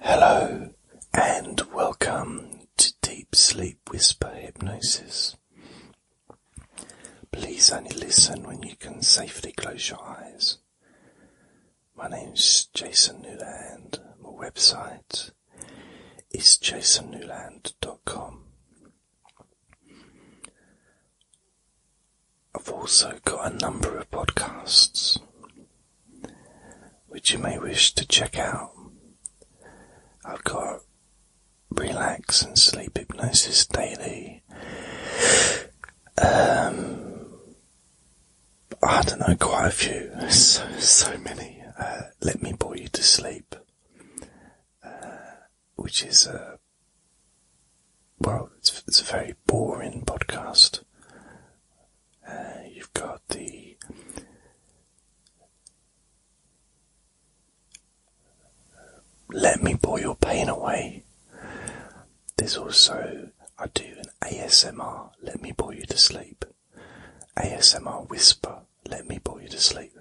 Hello, and welcome to Deep Sleep Whisper Hypnosis. Please only listen when you can safely close your eyes. My name is Jason Newland. My website is jasonnewland.com. I've also got a number of podcasts which you may wish to check out. I've got relax and sleep hypnosis daily. Um, I don't know, quite a few, so, many. Uh, Let me bore you to sleep, uh, which is a well, it's a very boring podcast uh, you've got the Let Me Pour Your Pain Away. There's also, I do an ASMR Let Me Bore You to Sleep, ASMR Whisper Let Me Bore You to Sleep,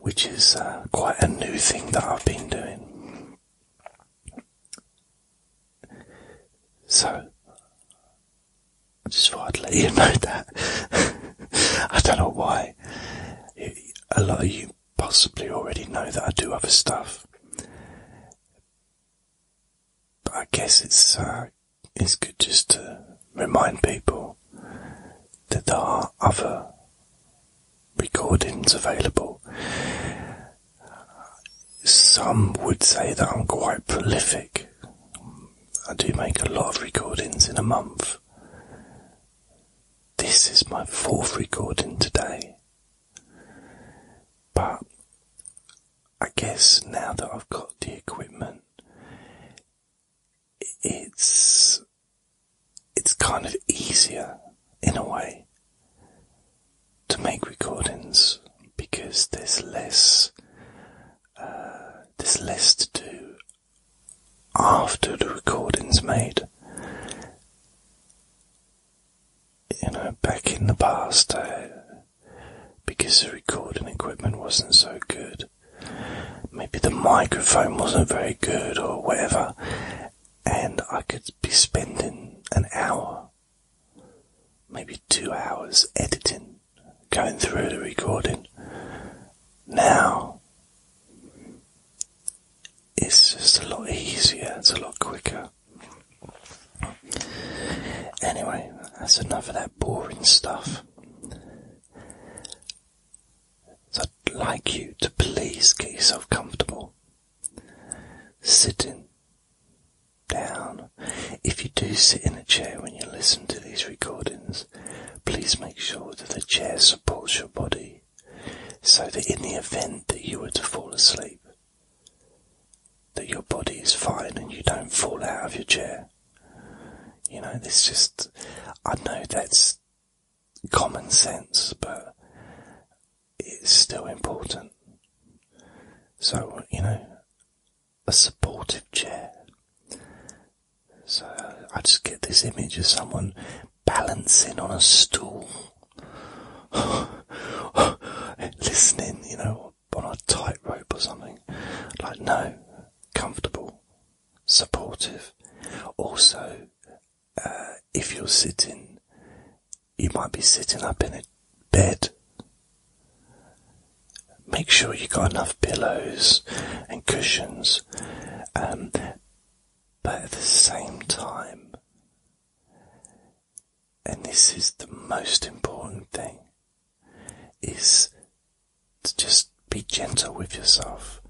which is uh, quite a new thing that I've been doing. So, I just thought I'd let you know that. I don't know why. A lot of you possibly already know that I do other stuff. But I guess it's, uh, it's good just to remind people that there are other recordings available. Some would say that I'm quite prolific. I do make a lot of recordings in a month. This is my fourth recording today. But I guess now that I've got the equipment, it's it's kind of easier in a way to make recordings because there's less uh, there's less to do after the recording's made. You know, back in the past, because the recording equipment wasn't so good, maybe the microphone wasn't very good or whatever, and I could be spending an hour maybe two hours editing, going through the recording. Now, it's just a lot easier, it's a lot quicker. Anyway, that's enough of that boring stuff. So I'd like you to please get yourself comfortable. Sitting down. If you do sit in a chair when you listen to these recordings, please make sure that the chair supports your body so that in the event that you were to fall asleep, that your body is fine and you don't fall out of your chair. You know, this just, I know that's common sense, but it's still important. So, you know, a supportive chair. So I just get this image of someone balancing on a stool, listening, you know, on a tightrope or something. Like, no, comfortable, supportive. Also, uh, if you're sitting, you might be sitting up in a bed. Make sure you have got enough pillows and cushions, um, but at the same time, and this is the most important thing, is to just be gentle with yourself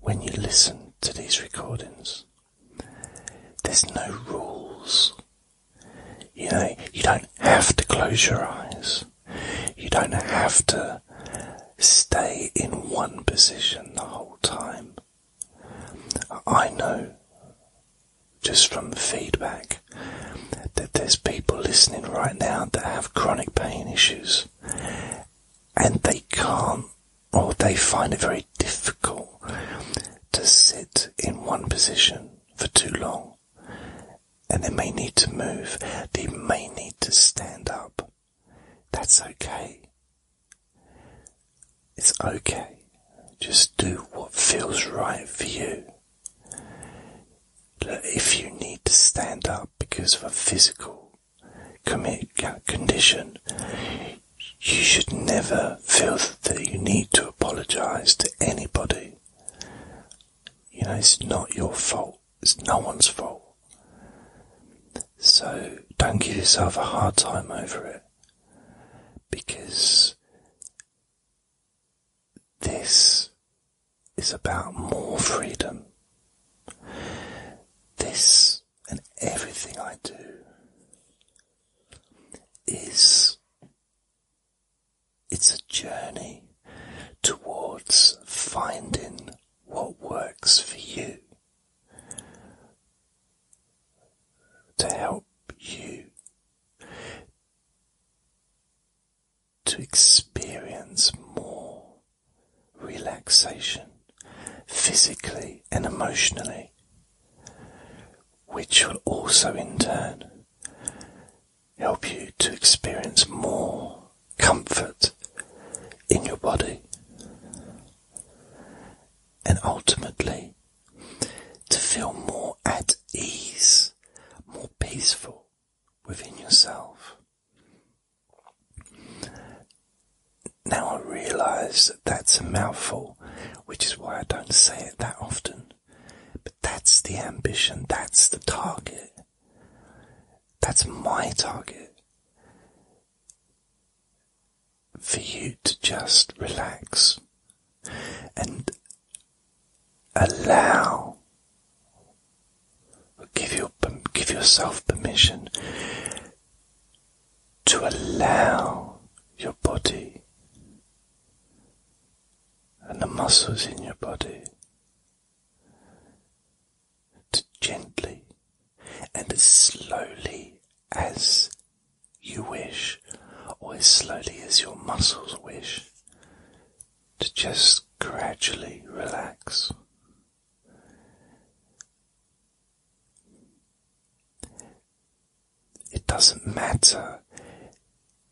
when you listen to these recordings. There's no rules. You know, you don't have to close your eyes. You don't have to stay in one position the whole time. I know just from the feedback that there's people listening right now that have chronic pain issues and they can't or oh, they find it very difficult to sit in one position for too long. And they may need to move, they may need to stand up. That's okay. It's okay. Just do what feels right for you. If you need to stand up because of a physical condition, you should never feel that you need to apologize to anybody. You know, it's not your fault, it's no one's fault. So don't give yourself a hard time over it because this is about more freedom. This and everything I do is it's a journey towards finding what works for you to help you to experience more relaxation physically and emotionally which will also in turn help you to experience more comfort in your body and ultimately to feel more at ease, more peaceful within yourself now I realise that that's a mouthful, which is why I don't say it that often. But that's the ambition, that's the target. That's my target. For you to just relax and allow, give, yourself permission to allow your body and the muscles in your body to gently and as slowly as you wish, or as slowly as your muscles wish, to just gradually relax. It doesn't matter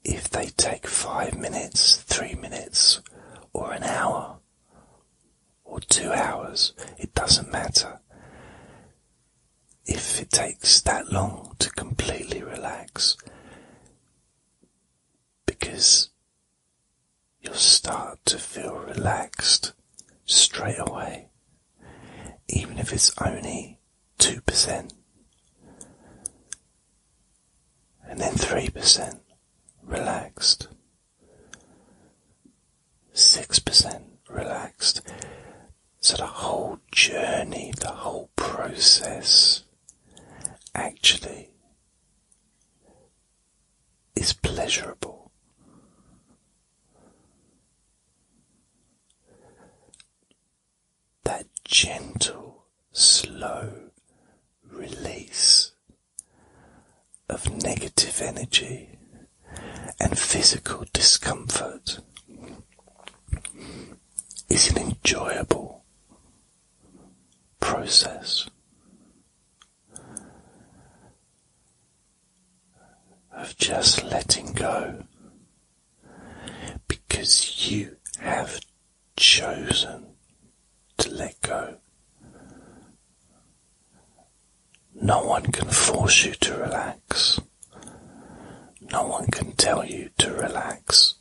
if they take five minutes, three minutes, or an hour, or two hours, it doesn't matter. If it takes that long to completely relax, because you'll start to feel relaxed straight away even if it's only 2%, and then 3% relaxed, 6% relaxed. So the whole journey, the whole process actually is pleasurable. That gentle, slow release of negative energy and physical discomfort is an enjoyable process of just letting go because you have chosen to let go. No one can force you to relax. No one can tell you to relax.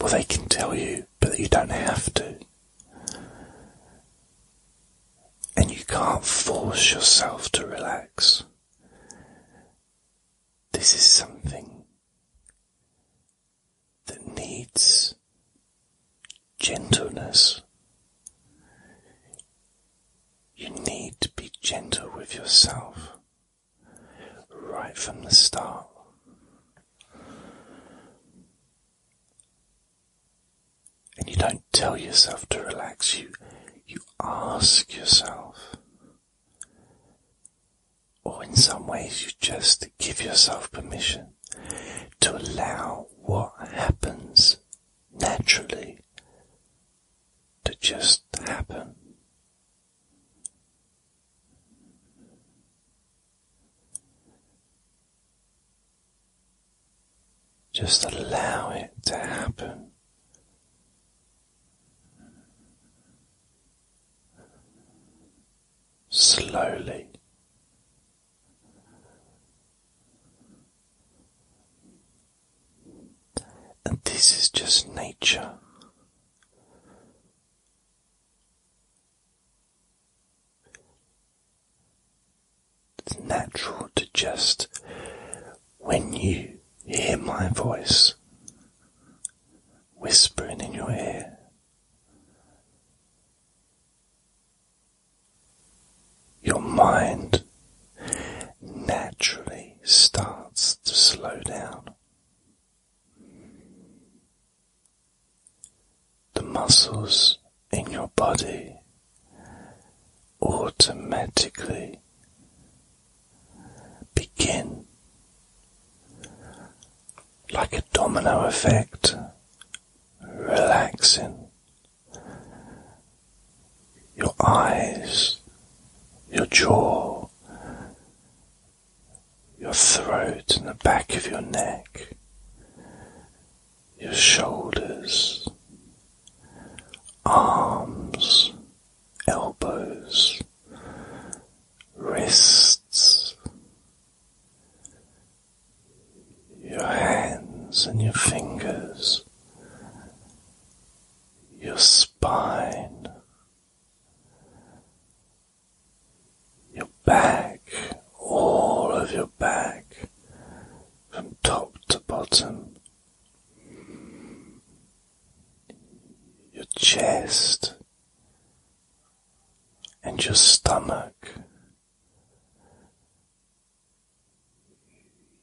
Well, they can tell you, but you don't have to and you can't force yourself to relax. This is something that needs gentleness. You need to be gentle with yourself right from the start. And you don't tell yourself to relax, you, you ask yourself. Or in some ways, you just give yourself permission to allow what happens naturally to just happen. Just allow it to happen. Slowly, and this is just nature. It's natural to just, when you hear my voice whispering in your ear, your mind naturally starts to slow down the muscles in your body automatically begin like a domino effect relaxing your eyes, your jaw, your throat and the back of your neck, your shoulders, arms, elbows, wrists, your hands and your fingers, your spine, your back, all of your back, from top to bottom, your chest and your stomach,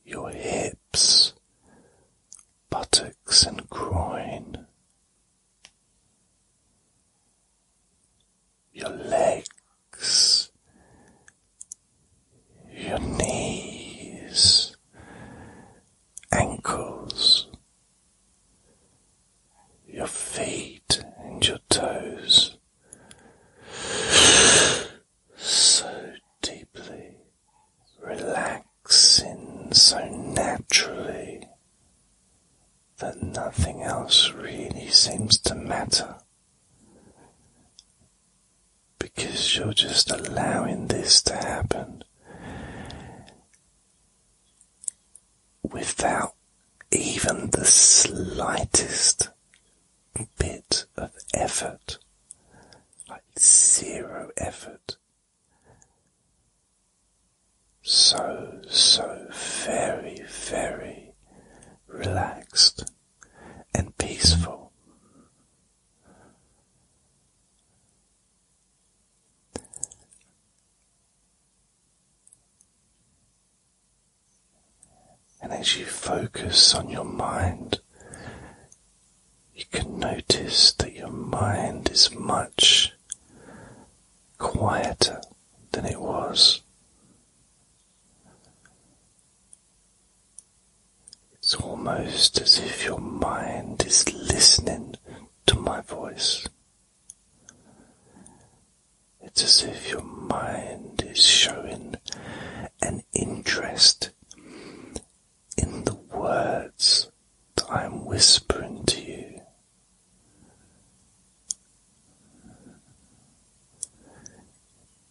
your hips, buttocks and groin your legs, your knees, ankles, your feet, and your toes so deeply relaxing so naturally that nothing else really seems to matter because you're just allowing this to happen without even the slightest bit of effort, like zero effort. So, so very, very relaxed and peaceful. And as you focus on your mind, you can notice that your mind is much quieter than it was it's almost as if your mind is listening to my voice. It's as if your mind is showing an interest in the words that I'm whispering to you.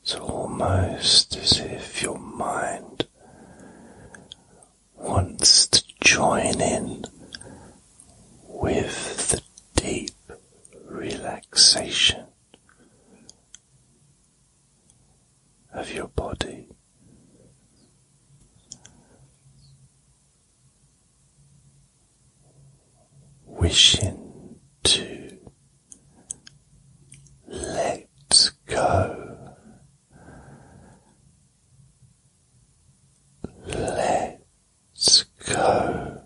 It's almost as if your mind wants to join in with the deep relaxation of your body wishing to let go, let go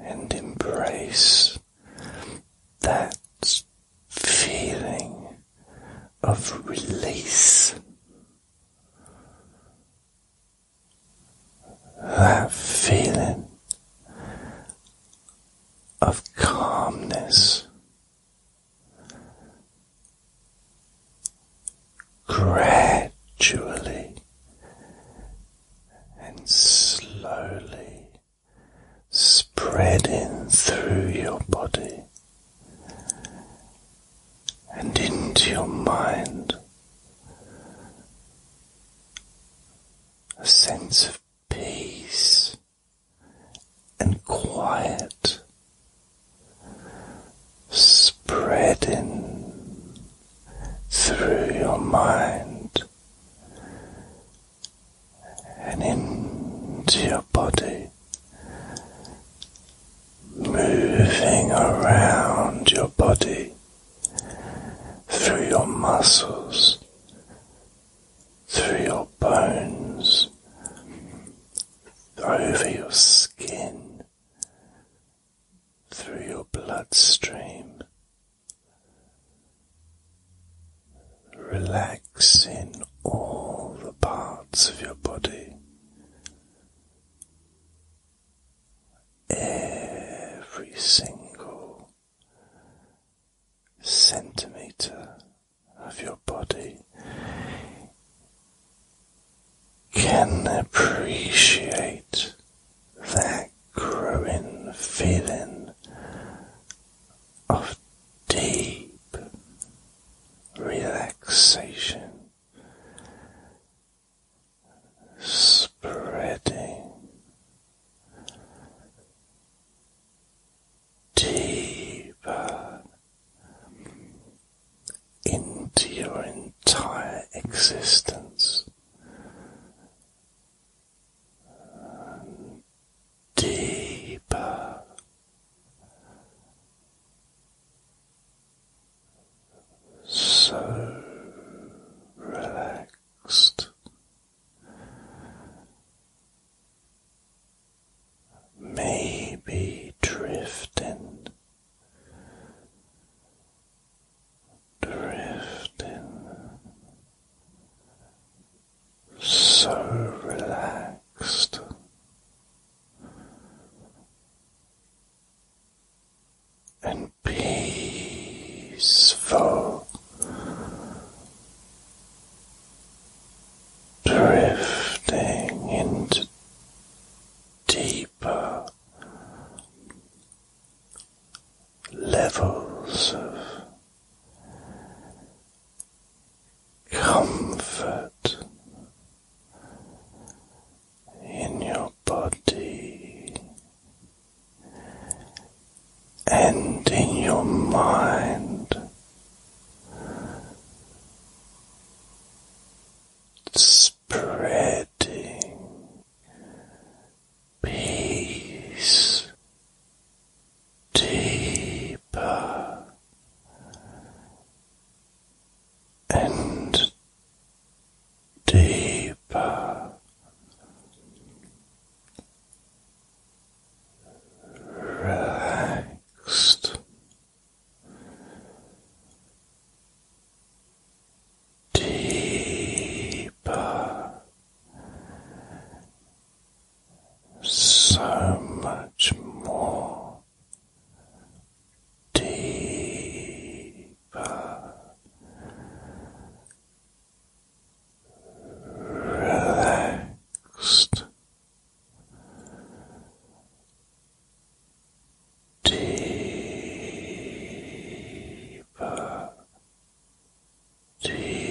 and embrace that feeling of release that feeling of calmness gradually and slowly spreading through your body and into your mind a sense of peace and quiet spreading through your mind and into your body moving around your body through your muscles, through your bones, over your skin, through your bloodstream, relaxing all the parts of your body every single centimeter of your body can appreciate that growing feeling of deep relaxation spreading deeper into your entire existence. deeper so relaxed, maybe drifting, drifting, so relaxed and peaceful drifting into deeper levels of comfort in your body and in your mind. Spreading peace deeper and deeper. Relaxed, deeper, so much more deeper relaxed deeper deep